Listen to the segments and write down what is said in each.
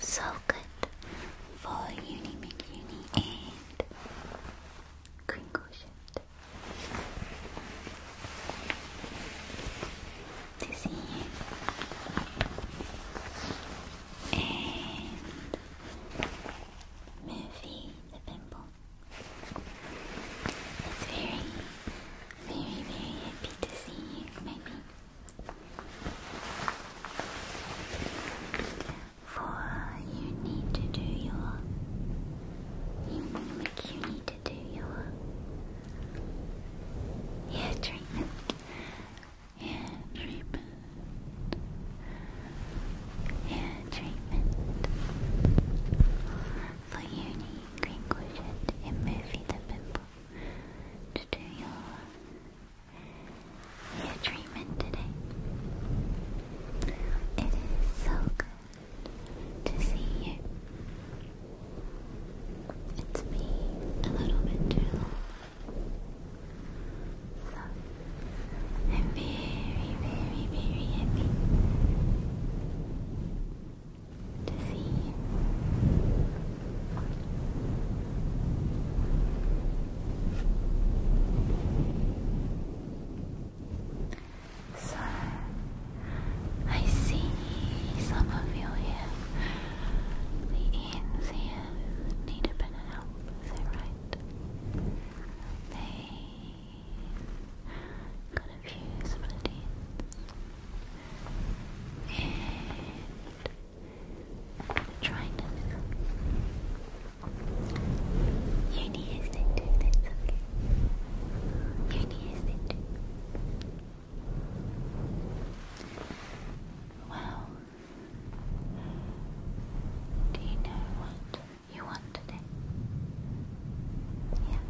So good for uni, mid uni, and green quotient. This and Murphy the pimple. It's very very, very happy to see you, maybe. For you need to do your. You, you need to do your. Hair treatment. Hair treatment. Hair treatment for unique inclusion in Movie the Pimple to do your hair treatment today. It is so good to see you. It's a little bit too long. So, I'm very, very, very happy to see. So, I see some of you here. The Ian's here need a bit of help, is that right? They got a few splitties. And try this. Uni is it that's okay. Uni is it Well, do you know what you want today? Yeah.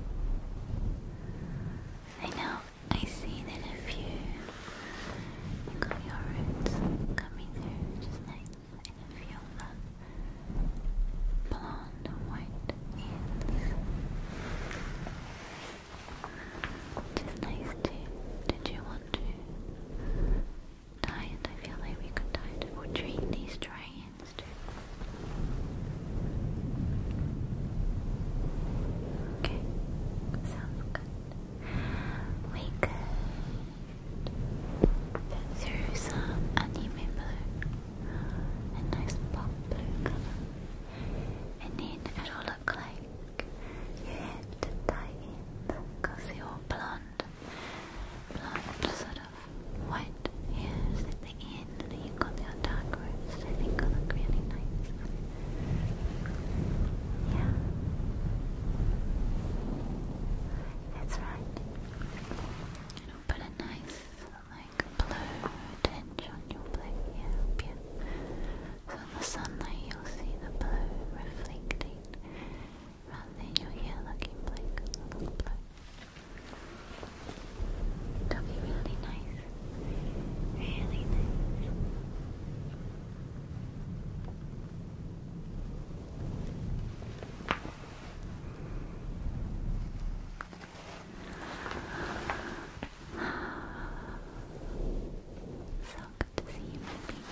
I know I see that a few like your roots coming through just like a few of the blonde white ends. Just nice too. Did you want to dye it? I feel like we could dye or treat these dry ends too. Okay, sounds good. We through some anime blue, a nice pop blue and then it'll look like your head tie-in because you're blonde, blonde sort of white hairs the then you got the dark rooms. I think they look really nice. Yeah. That's right. It'll put a nice, like, blue tinge on your black yeah, So in the sunlight you'll see the blue reflecting, rather than your hair looking black, looking blue. It'll be really nice. Really nice. So good to see you, my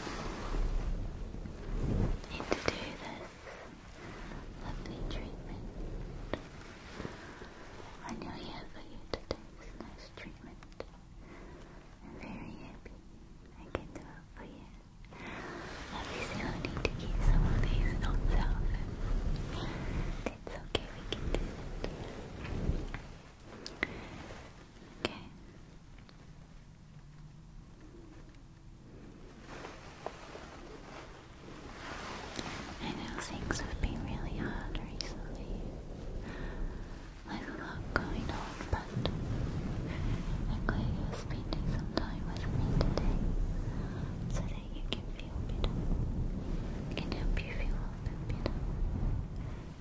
Need to do this lovely treatment. I know you to take this nice treatment. very happy I can do it for you. Obviously, i need to keep some of these notes out. It's okay, we can do that. Okay. I know things have been really hard recently. There's a lot going on, but I'm glad you're some time with me today so that you can feel better. I can help you feel a little bit better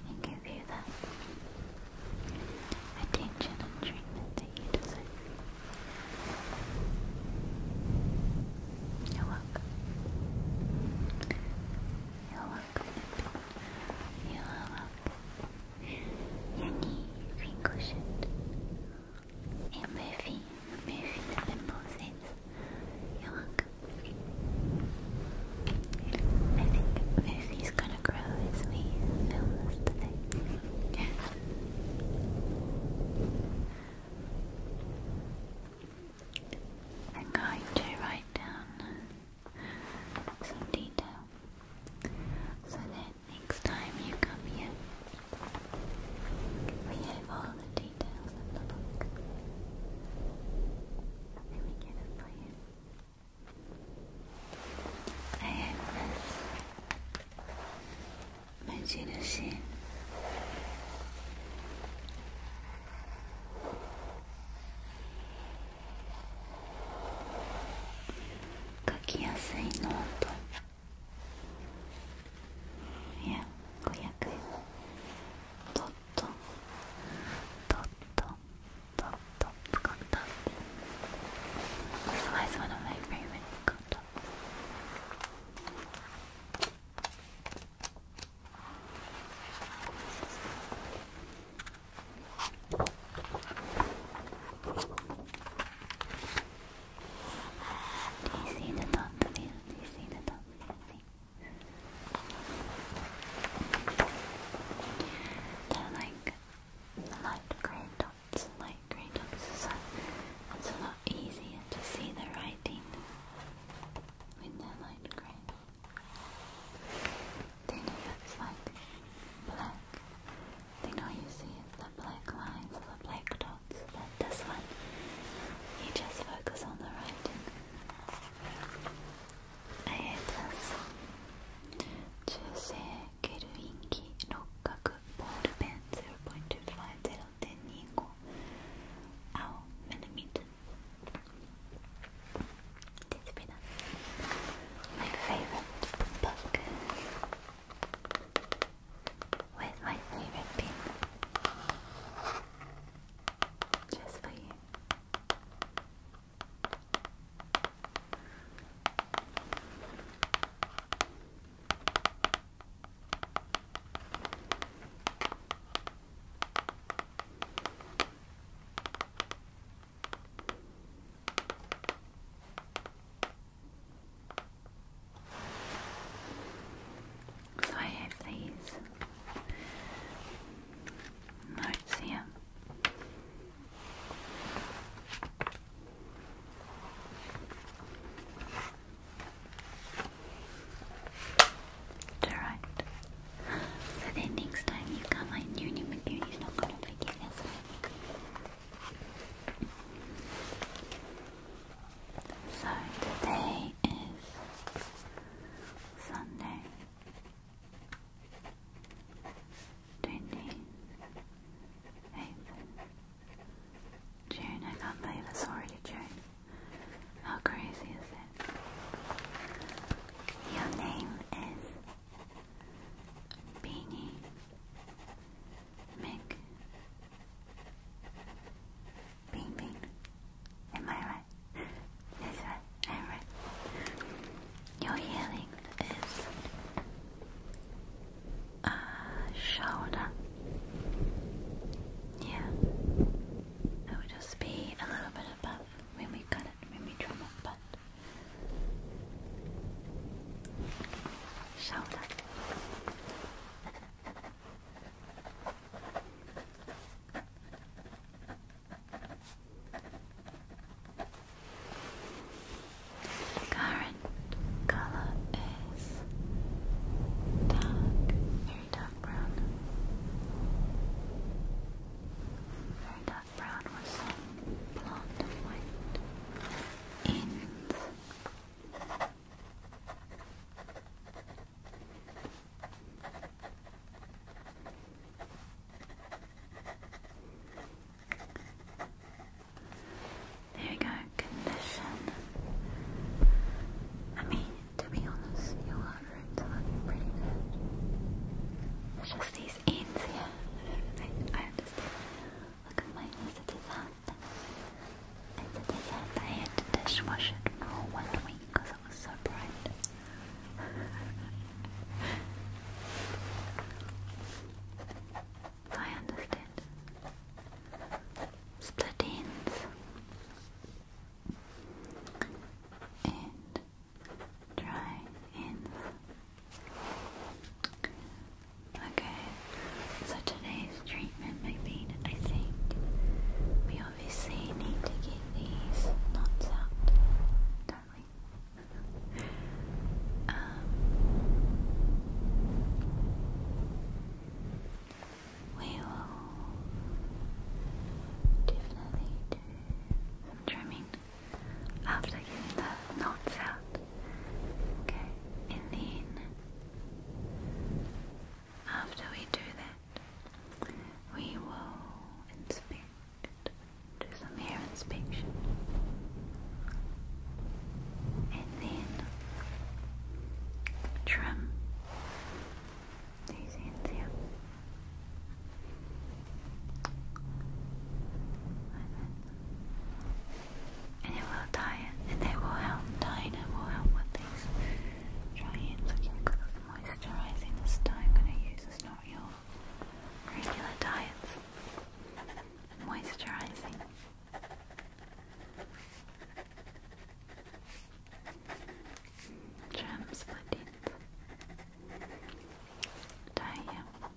and give you that attention and treatment that you deserve. You're welcome welcome. You're welcome. You're welcome. 여기 빈 곳은 이 멜빈, 멜빈의 모습. You're welcome. I think Murphy's gonna grow as we film this today. I'm going to write down some detail so that next time you come here, we have all the details of the book. Let me get it I have this Majirushi. 書きやすいノートいや500円ドとっと。ットドット使ったすごいすごいの my favorite 使った Do you see the top see the top of They're like light grey dots, light grey dots, so it's a lot easier to see the writing with the light green. They know that's like black. They know you see the black lines or the black dots, but this one, you just focus on the writing. I had this Jusekeruinki Rokkaku ball 0.25 0.25 ao it's my favorite book with my favorite pen just for you. So I have these notes here. Alright. So then next time you come, I knew New McBeauty's not gonna like it So today is Sunday. 28th June. I can't believe it's already June. How crazy is it? Your name is Beanie Mick Bean Am I right? That's right, i right. Your healing is uh, shoulder. Yeah, it would just be a little bit above when we cut it, when we trim it, but shoulder. The current color is dark, very dark. Very dark brown with some blonde and white There you go, condition. I mean, to be honest, your outfits are pretty good. It's just these ends here. I, understand. Look at mine, it's a disaster. It's I had to dishwash it for one week because it was so bright. I understand. Split and dry ends. Okay, so today's treatment might be I think we obviously need to get these knots out, do we will definitely do some trimming after getting the knots out. Okay, and then after we do that, we will inspect, do some hair inspection, and then trim these hands here. And it will tie and they will help tying it will help with these dry hands looking good with moisturizing. This I'm gonna use is not your regular dye, moisturizing. Gems verdient. Daher with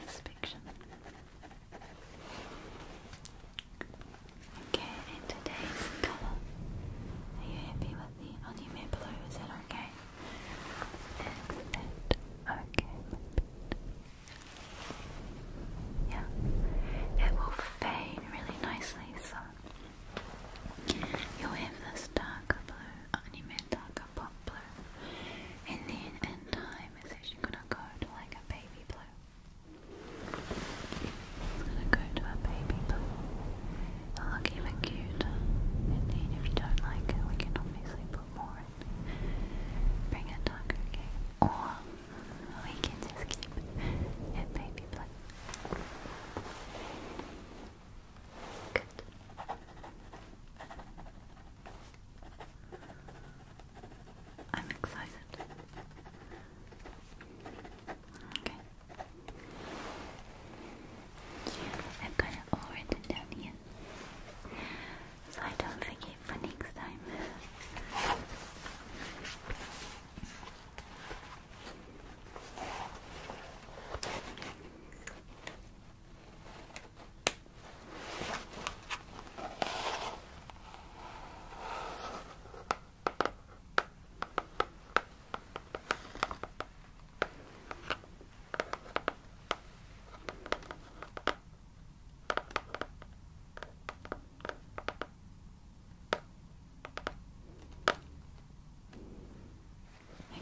this picture. Okay, and today's color. Are you happy with the onion blue? Is that okay? Is that okay? Yeah, it will fade really nicely. So you'll have this darker blue, animate darker pop blue, and then in time it's actually gonna go to like a baby blue. It's gonna go to a baby blue. it look even cuter. And then if you don't like it, we can obviously put more Bring a dog, okay? Or we can just keep it baby blue. Good. I'm excited. Okay. I've got it all written down here so I don't forget for next time.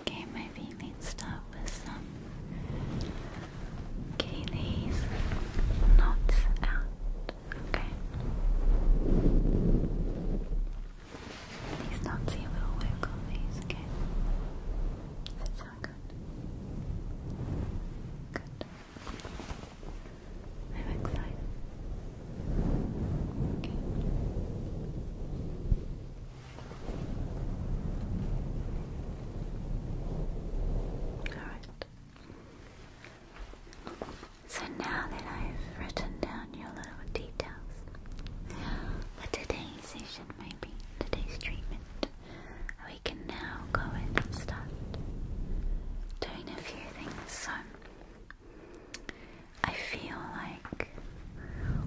Okay, maybe let's start with some Keely's knots out. Okay. These knots here will work these, okay? good? Good. I'm excited. Okay. Alright. So now that I've written down your little details, what today's session might be, today's treatment, we can now go and start doing a few things. So, I feel like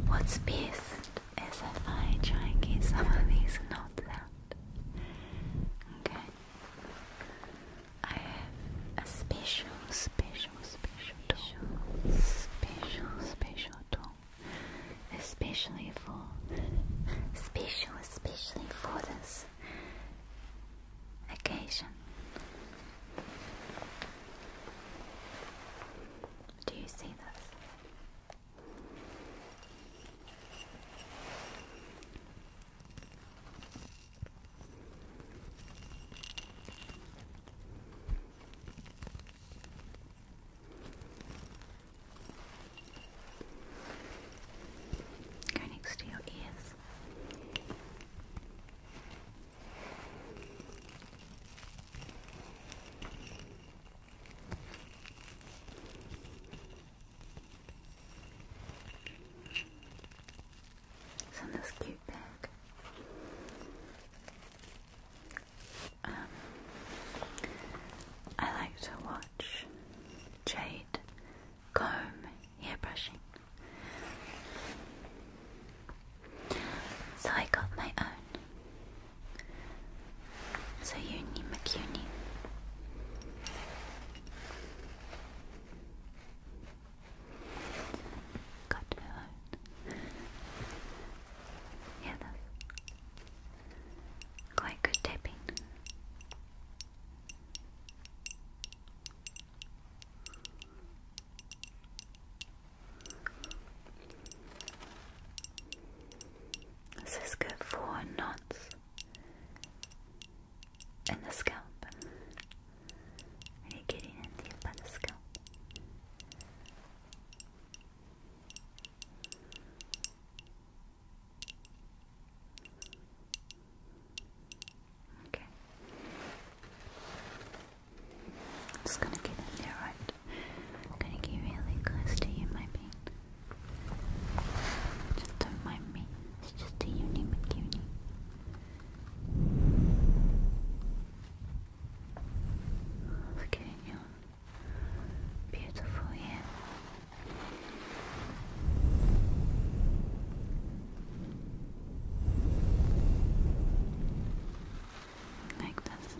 what's best is if I try and get some of these knots out. Okay? I have a special, special, special tool. Special, special tool especially for, special, especially for this occasion. Do you see this? Go next to your ears. It's on this cute bag. Um, I like to watch jade, comb, hair brushing. So I got my own. So uni McUni. Got her own. Yeah, Quite good tapping. This is good for knots in the scalp. Really getting in the scalp. Okay. just gonna get in there, right? gonna get really close to you, my Just don't mind me. It's just a uni McUni. Okay, Beautiful yeah. Like this.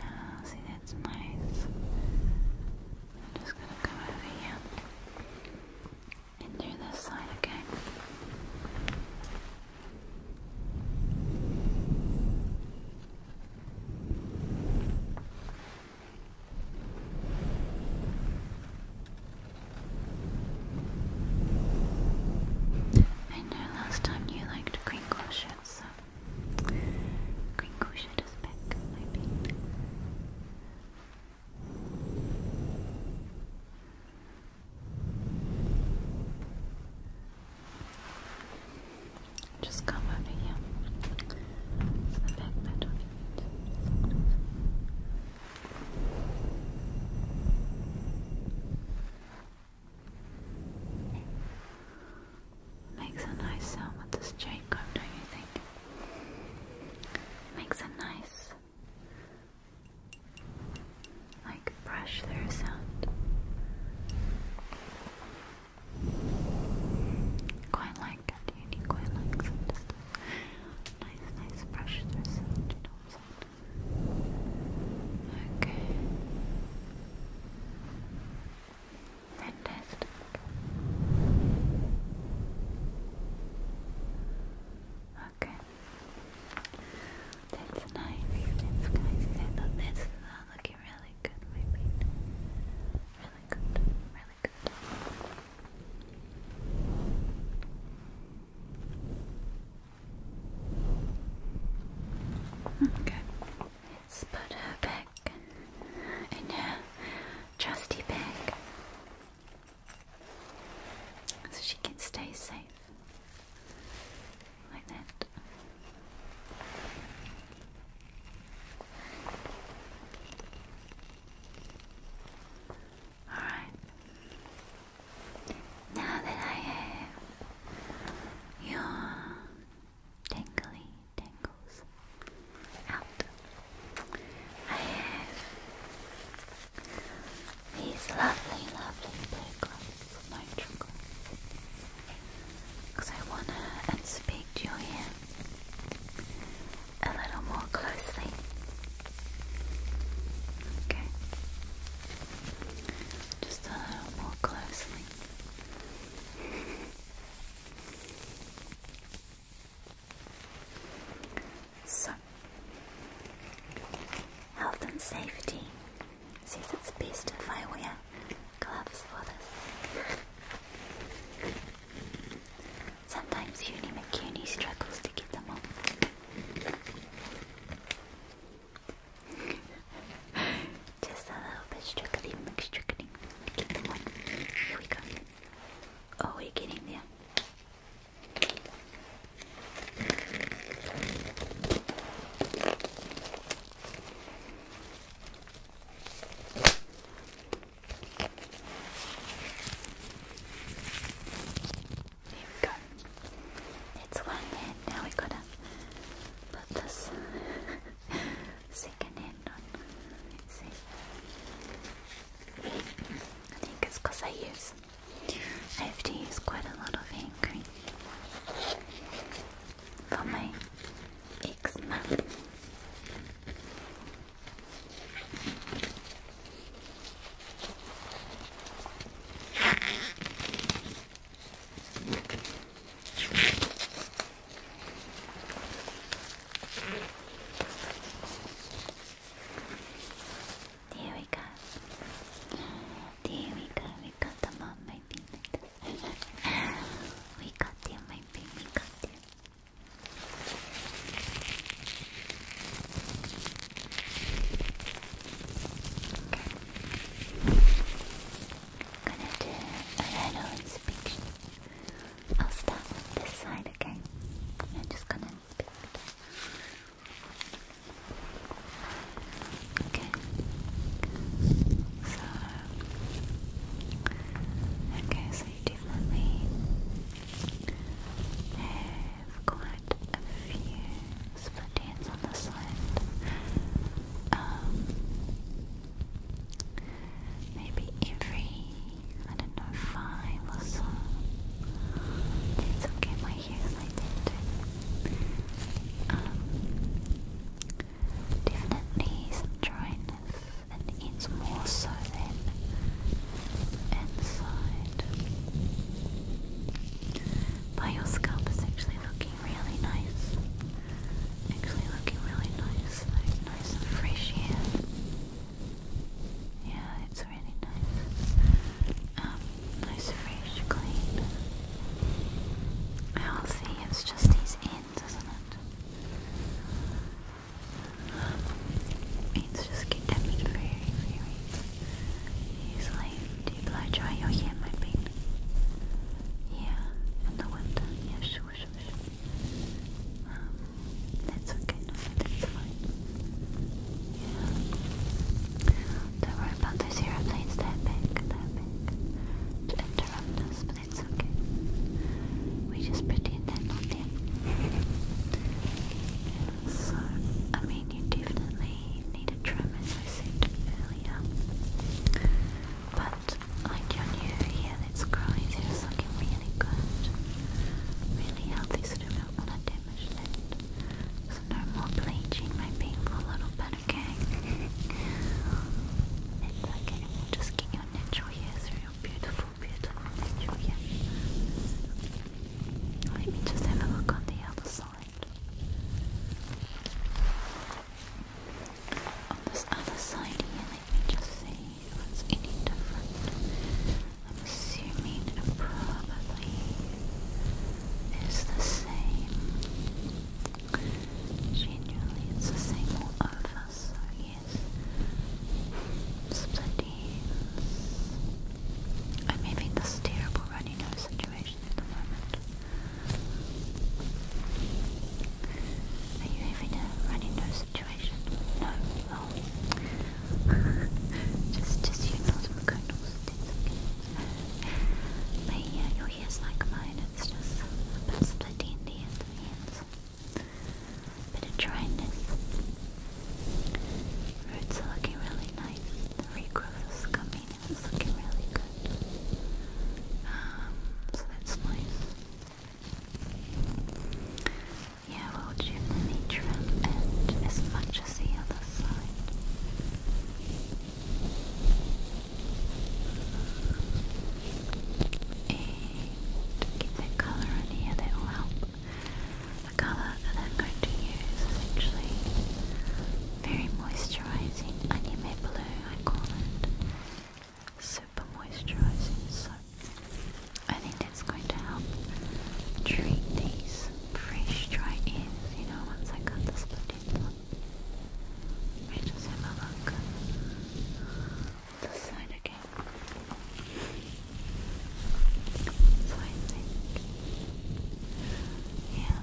Uh, see it's nice. I'm just gonna come over here and do this side, okay? I know last time you liked crinkle shit, Green Kushit is back, I Just come over here. To the back bed Makes a nice sound with this chain comb, don't you think? Makes a nice, like, brush through sound. Quite like it, you quite like some a nice, nice brush through sound, you know what I'm Okay. Fantastic. Okay. That's nice. That's nice. I this is all looking really good, my paint. Really good. Really good. Okay. Let's bag in her uh, trusty bag so she can stay safe like that. All right. Now that I have your tangly tangles out. I have these lovely, lovely blue gloves, nitro gloves, because I want to inspect your hair a little more closely. Okay. Just a little more closely. So, health and safety says it's best if I wear gloves for this. Sometimes Uni McCuny struggles to get them on. Just a little bit struggling, struggling. Keep the Here we go. Oh, we're getting there. There we go. It's one hand. Now we gotta put this second hand on. I think it's because I use. I have to quite a lot of hand cream for my eczema. There we go. There we go. We got them on my pin. we got them, my pin. We got them. Gonna do a little inspection. I'll start with this side, okay? I'm just gonna again. Okay. So Okay, so you definitely have quite a few split on the side. Um, Maybe every, I don't know, five or so. It's okay, my hair's um, definitely some dryness, and it's more so than inside. But your scalp is actually looking really nice. Actually looking really nice, like nice and fresh here. Yeah, it's really nice. Um, nice, fresh, clean. Healthy, it's just these ends, isn't it? ends just get damaged very, very easily. Do you blow dry your hair, my pet? Yeah, in the winter, yeah sure whoosh, that's okay, no, that's fine. Don't worry about those aeroplanes, big, they big. To interrupt us, but it's okay. We just pretend they're so, I mean, you definitely need a trim, as I said earlier. But I can hear its cries here is looking really good. Really healthy, so don't want to damage it. So no more bleaching my painful little bit, okay? it's okay, just get your natural hair through your beautiful, beautiful natural hair. Let me just have a look on the other side. On this other side here, just see if it's any different. I'm assuming it probably is the same. Generally, it's the same all over, so yes. Split I'm having this terrible runny nose situation at the moment. Are you having a run into situation? No? just, just you know some kernels. But yeah, your hair's like mine. It's just a bit splitty in the ends. Bit of dryness. Roots are looking really nice. The regrowth is coming. It's looking really good. Um, so that's nice. Yeah, we'll do the metrum as much as the other side. And get that colour in here, that will help. colour that I'm going to use is actually very moisturising onion blue, I call it super moisturizing so I think it's going to help treat these fresh dry ears, you know, once I cut the splitting one. just have a look this side again. So I think, yeah.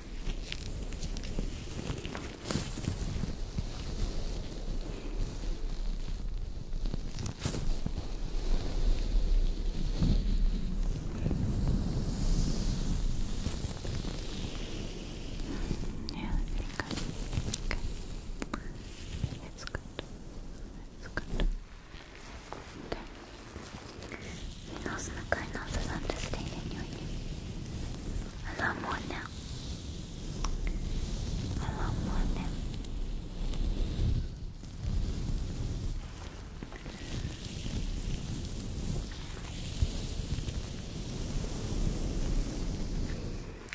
Yeah, I think It's good. It's good. Okay. How's the Cardinals' understanding your name? I love more now. I love more now.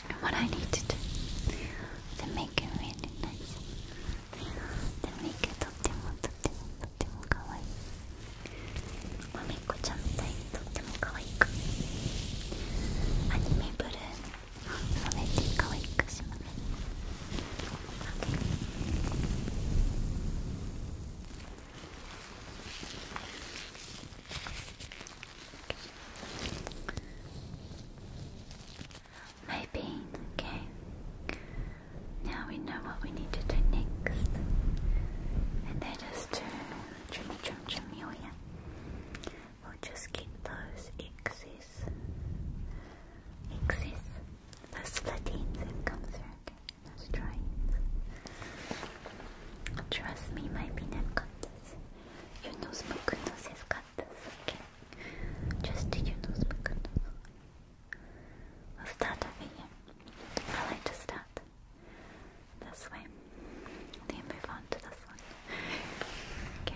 And what I need to do to make it really nice, to make it optimal とってもかわいいまめっちゃんみたいにとってもかわいくアニメブルーの染めてかわいくします Maybe in the game Now we know what we need to do next. And that is to chum chum trim oh your hair. We'll just get those excess excess the split ends that come through. Okay, those dry Trust me, my peanut got this. Your nose, my goodness, has got this. Okay, just do your nose, my We'll start over here. I like to start this way. Then move on to this one. Okay.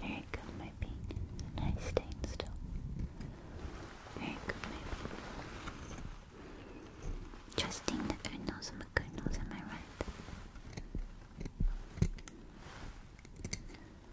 There you go, my bean. Nice stain still. There you go, my bean. Trusting the good nose and good nose, am I right?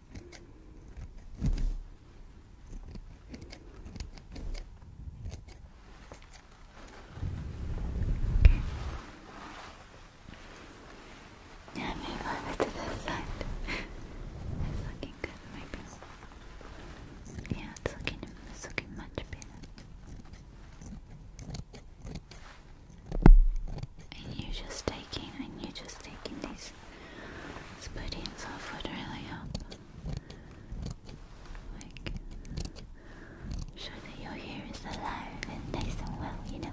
Okay. Yeah, move over to this side. it's looking good, maybe. Yeah, it's looking, it's looking much better. And you're just taking, and you're just taking these splitting stuff would really help. Like, I'm sure that your hair is alive and nice well, you know.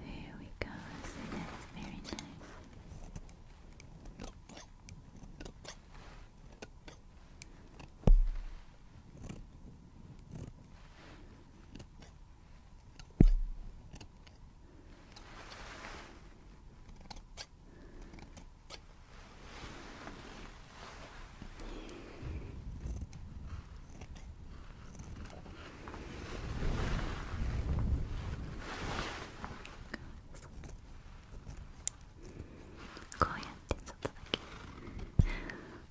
There we go. that's very nice. こうやってちょっとだけ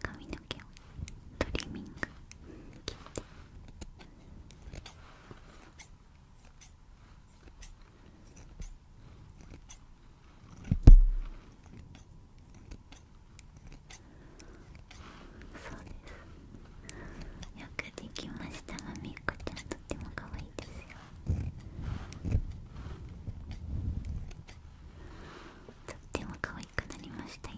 髪の毛をトリミング切って。すよくできましたまみっこちゃんとっても可愛いですよとっても可愛くなりましたよ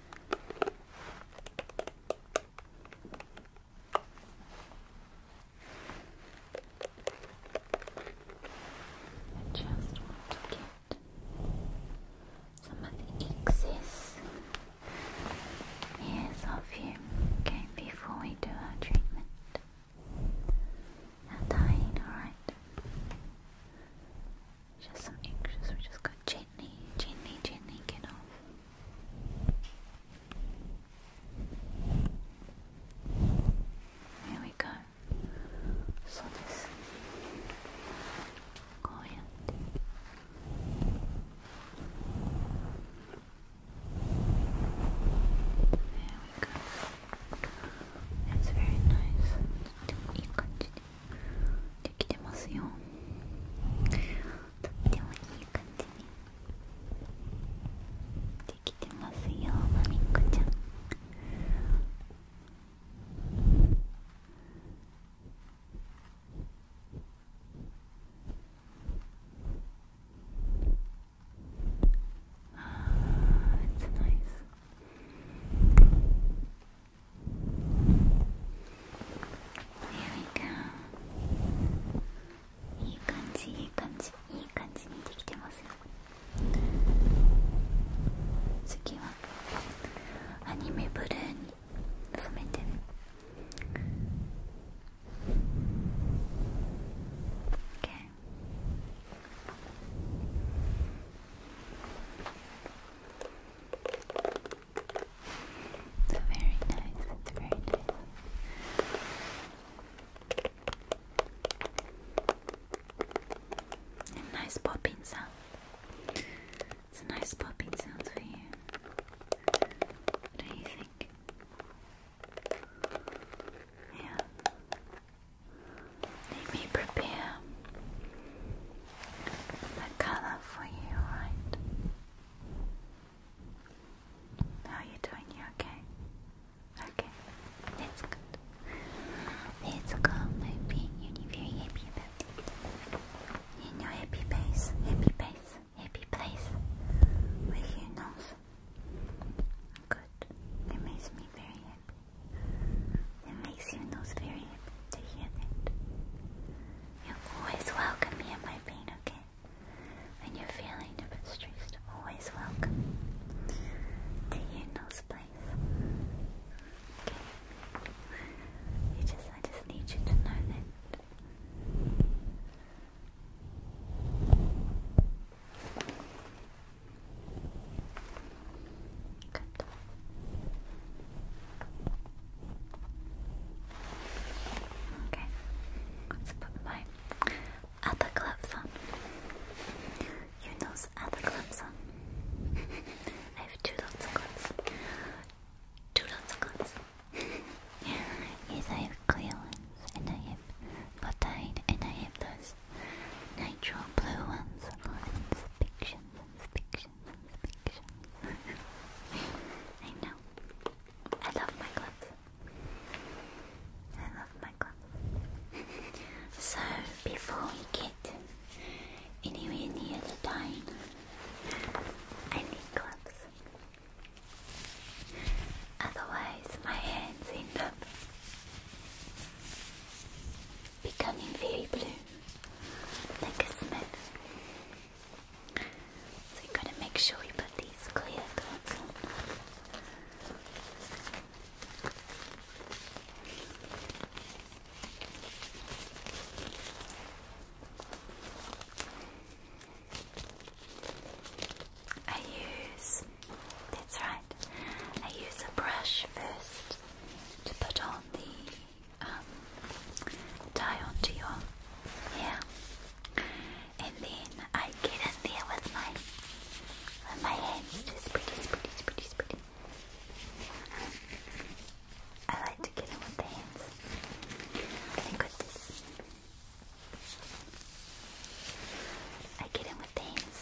I just want to get some of the excess hairs off you, okay, before we do our treatment. Now dying, alright. Just some anxious, we're just going gently, gently, gently get off. There we go. So this quiet. There we go. That's very nice. You continue. できてますよとってもいい感じにできてますよマミっこちゃんああ、いつないです。いい感じいい感じいい感じにできてますよ次はアニメブルーに染めて It's very nice, it's very nice. A nice popping sound. It's a nice popping sound for you. do you think? Yeah. Let me prepare the color for you, right? are you doing? You okay? Okay, that's good. That's good, my You're very happy In your happy place, happy place, happy place with your nose. Good. It makes me very happy. It makes your nose very happy to hear that. You're always welcome me in my pain, okay? And you're feeling a bit stressed, always welcome to your nose place. Okay? I just need you to know that. Good. Okay, let's put my other gloves on. You know other gloves on. I have two lots of gloves. Two lots of gloves. yes, I have clear ones, and I have botine, and I have those nitro blue ones. Oh, and spictions and I know. I love my clubs. I love my clubs. so before we get anywhere near the dying, I need clubs. Otherwise, my hands end up becoming very blue, like a smith. So you gotta make sure you put these clear I use, that's right, I use a brush first to put on the um, tie onto your hair, and then I get in there with my my hands, just pretty, pretty, pretty, pretty. I like to get in with the hands. I got this. I get in with the hands.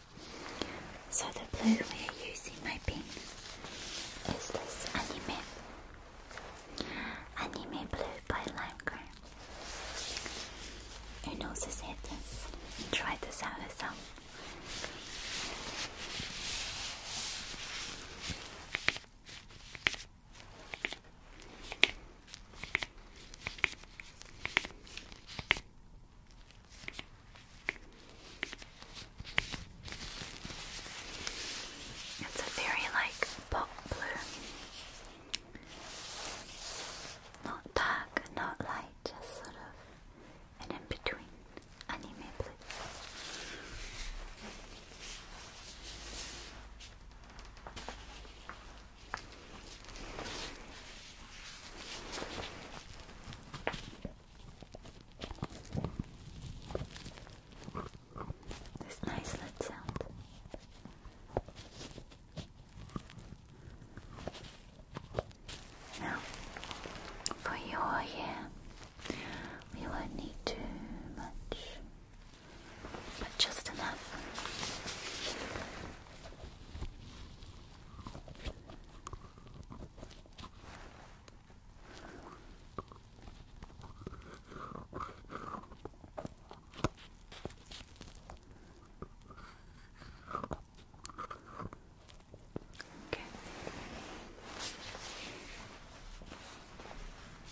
So the blue we're using, my pin, is this anime, anime blue by Limegreen. Who knows this it is? Try this out yourself. It's a very like pop blue. Not dark, not light, just sort of an in between anime blue. This nice lead sound. Now, for your hair, we won't need too much, but just enough.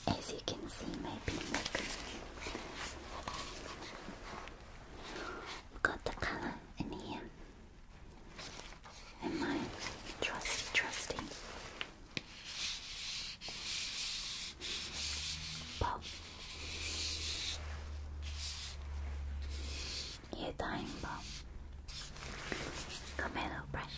As you can see, maybe look. Got the color in here and my trusty, trusty pop ear time bomb Camelo brush.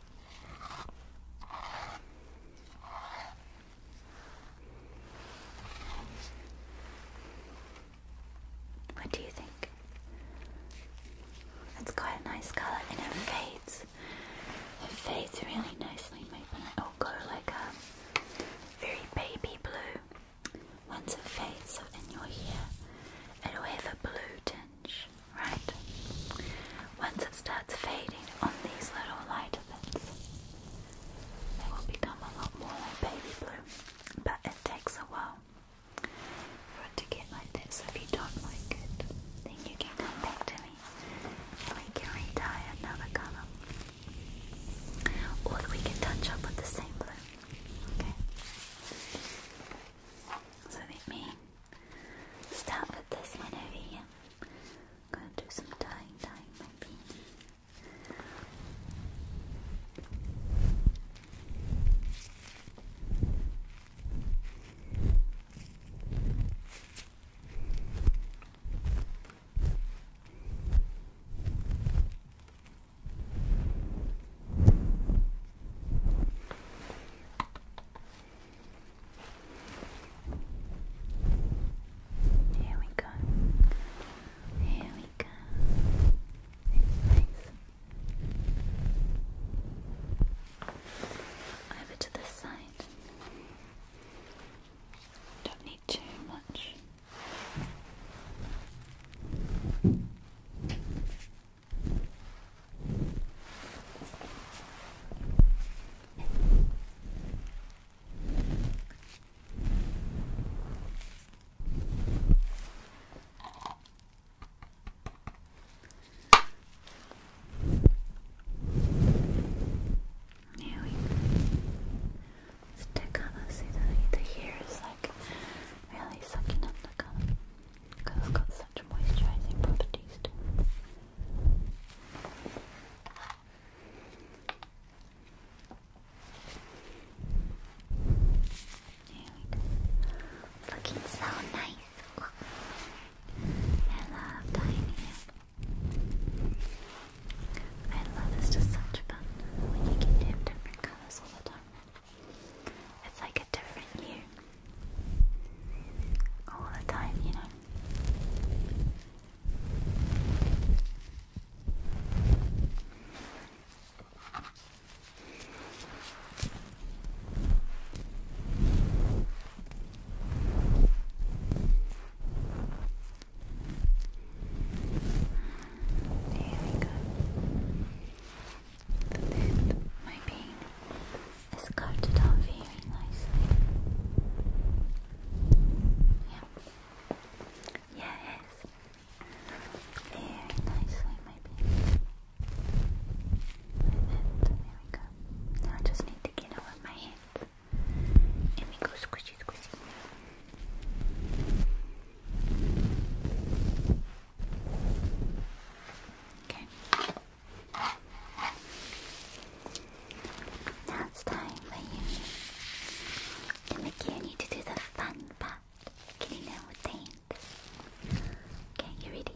What do you think? It's quite a nice colour and it fades. It fades really nicely. Maybe it'll go like a um, very baby blue. Once it fades in your hair, it'll have a blue tint right? Once it starts fading on these little lighter bits, they will become a lot more baby blue, but it takes a while for it to get like that. if you don't like it, then you can come me and we can re another colour. Or we can touch up with the same blue. Okay? So let me Start with this one over here. I'm going to do some tying, tying my beanie. Here we go. Here we go. It's Over to this side. Don't need too much. Now we let's take on see the the hair is like really sucking up the color. Cause it's it's looking so nice. I love dying I love it's just such fun when you can do different colors all the time. It's like a different you all the time, you know. There we go. my pain. It's coated up very nicely. Yeah. Yes. Very nicely, maybe. Like that. There we go. Now I just need to get over my hands. And we go squishy, squishy. Okay. Now it's time for you. Like you to do the fun part. Can you know what that? Okay, you ready?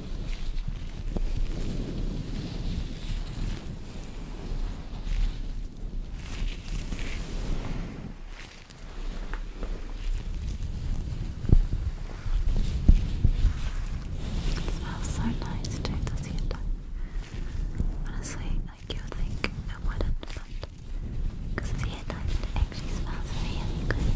It smells so nice too, does it? Honestly, like you would think it wouldn't, but because it's actually smells really good.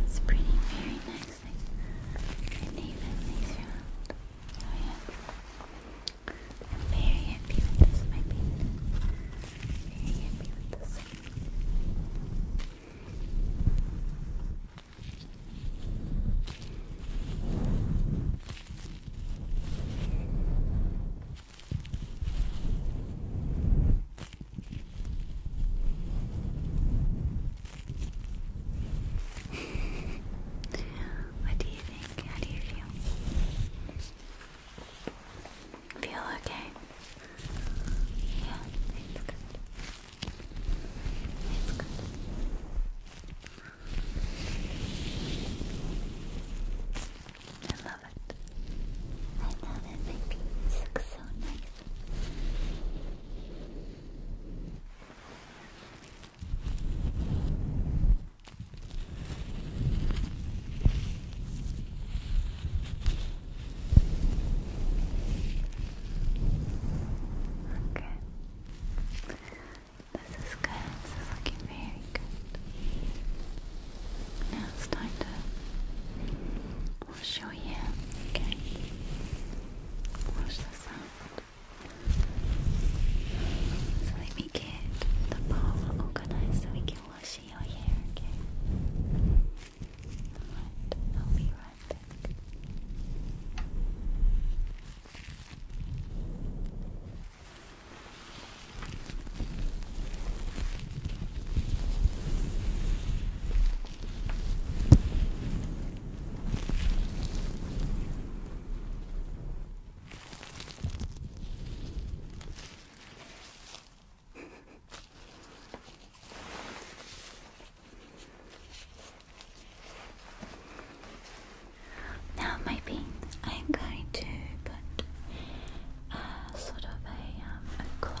It's pretty, very nice. Like, Nathan, nice round. Oh, yeah. I'm very happy with this, my Very happy with this. what do you how do you feel? Feel okay? Yeah, it's good. It's good. I love it. I love it. My beans look so nice. Okay. This is good. This is looking very good. Now it's time to we'll show you. Okay. Wash this up. So let me get the bowl organized so we can wash your hair, okay? Alright, I'll be right back now, my beans, I'm going to put uh, sort of um, a cloth,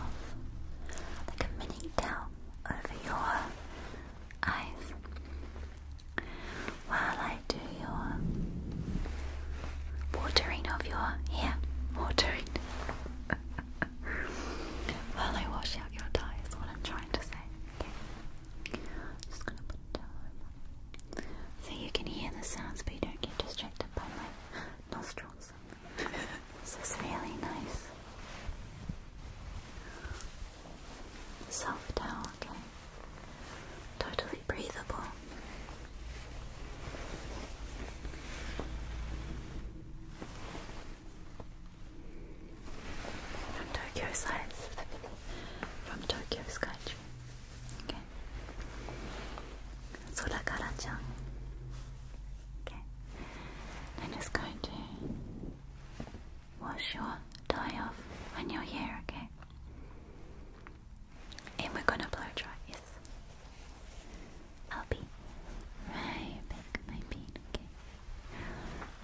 like a mini towel, over your eyes while I do your watering of your hair. Watering. while I wash out your dye is what I'm trying to say. Okay. Just gonna put it down. So you can hear the sounds but you don't get distracted by my nostrils. this is really nice. Self towel, okay. Totally very breathable. From Tokyo size, from Tokyo Skytree. Okay. Sorakara-chan. Okay. I'm going to wash your tie off on your hair, okay? And we're gonna blow dry, yes. i right back, okay?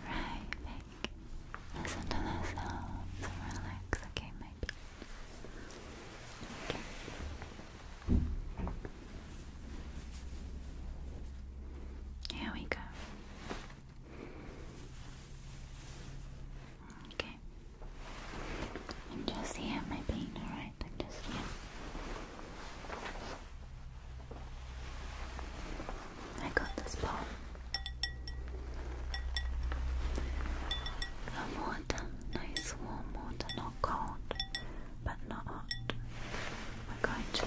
Right back. Listen to the sounds relax, okay, my Okay. Here we go. Okay. I'm just here, my pain, alright? just here. I got this ball. water, nice warm water, not cold, but not hot. We're going to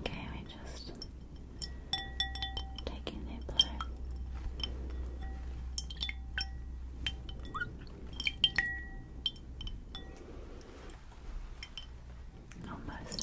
Okay, we just taking the blue. On both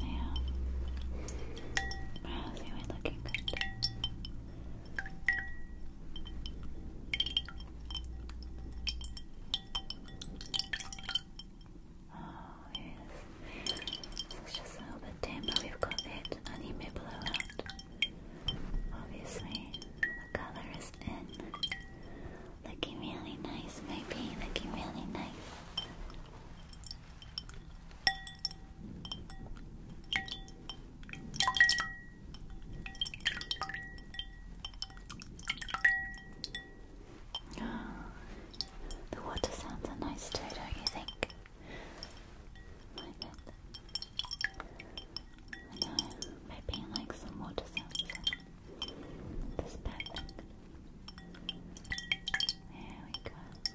Yeah. Wow, you were looking good. Oh, yes. It's just a little bit dim, but we've got that anime blowout. Obviously, the color is in. Looking really nice, maybe. Looking really nice. The water sounds are nice too, don't you think? I bet. I know, maybe like some water sounds. This perfect. There we go.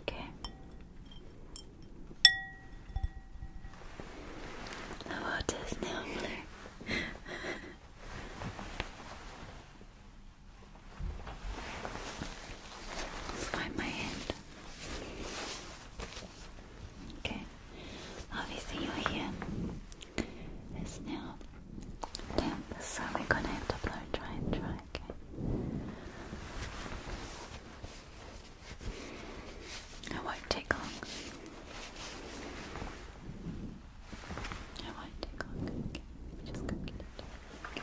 Okay. The water now blue. my hand. Okay. Obviously your hair is now yeah, so we're gonna have to blow dry and dry, okay? It won't take long. It won't take long. Okay, just go get it. Okay.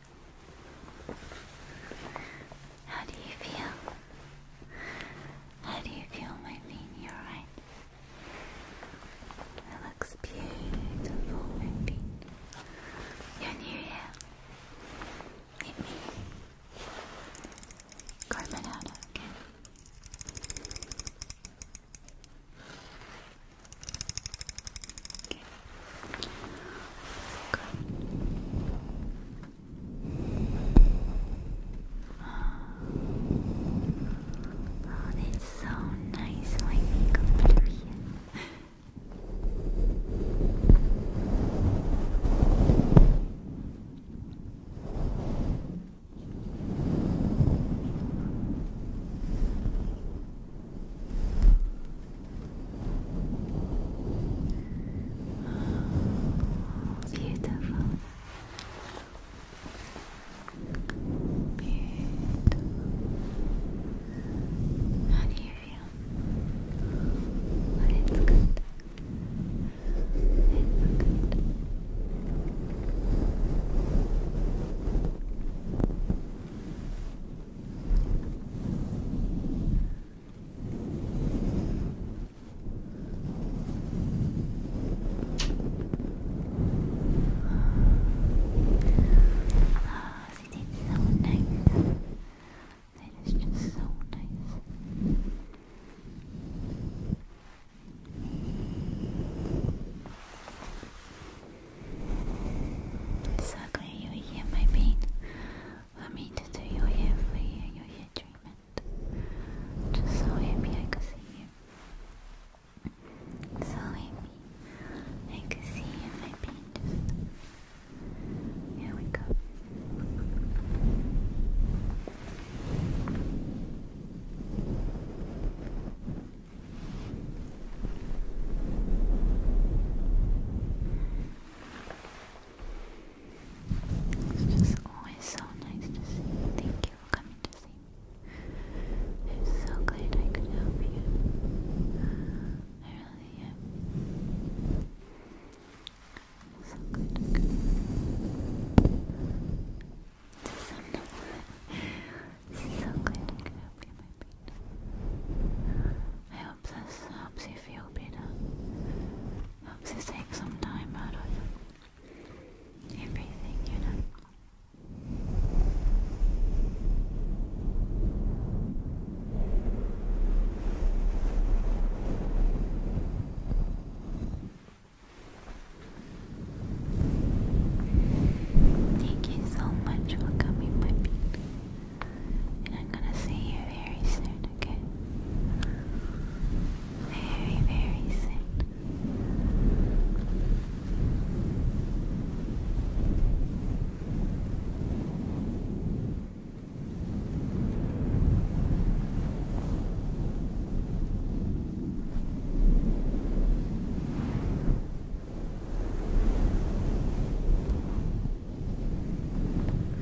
How do you feel? How do you feel, my bean? right. It looks beautiful, my bean. You're new here. it out, Oh, oh so nice my makeup tutorial. Beautiful. Beautiful. How do you feel? it's good. It's Good. Oh, it is so nice. That is just so nice. It's you hear my pain. I mean to do your hair for you and your hair treatment. Just so happy I could see you. So happy I could see you my paint. Here we go. It's just always so nice to see Thank you for coming to see me. I'm so glad I could help you. I really am. So good. Just so good. I could help you, my friend. I hope this helps you feel feel Helps you take some time out of everything, you know. Thank you so much for coming, my and I'm gonna see you very soon, okay? Very, very soon.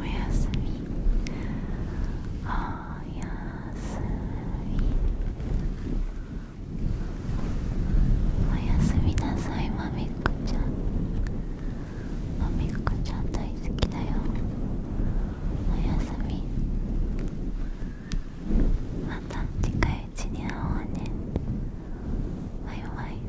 おやすみおやすみおやすみなさいまみっこちゃんまみっこちゃん大好きだよおやすみまた近いうちに会おうねバイバイ「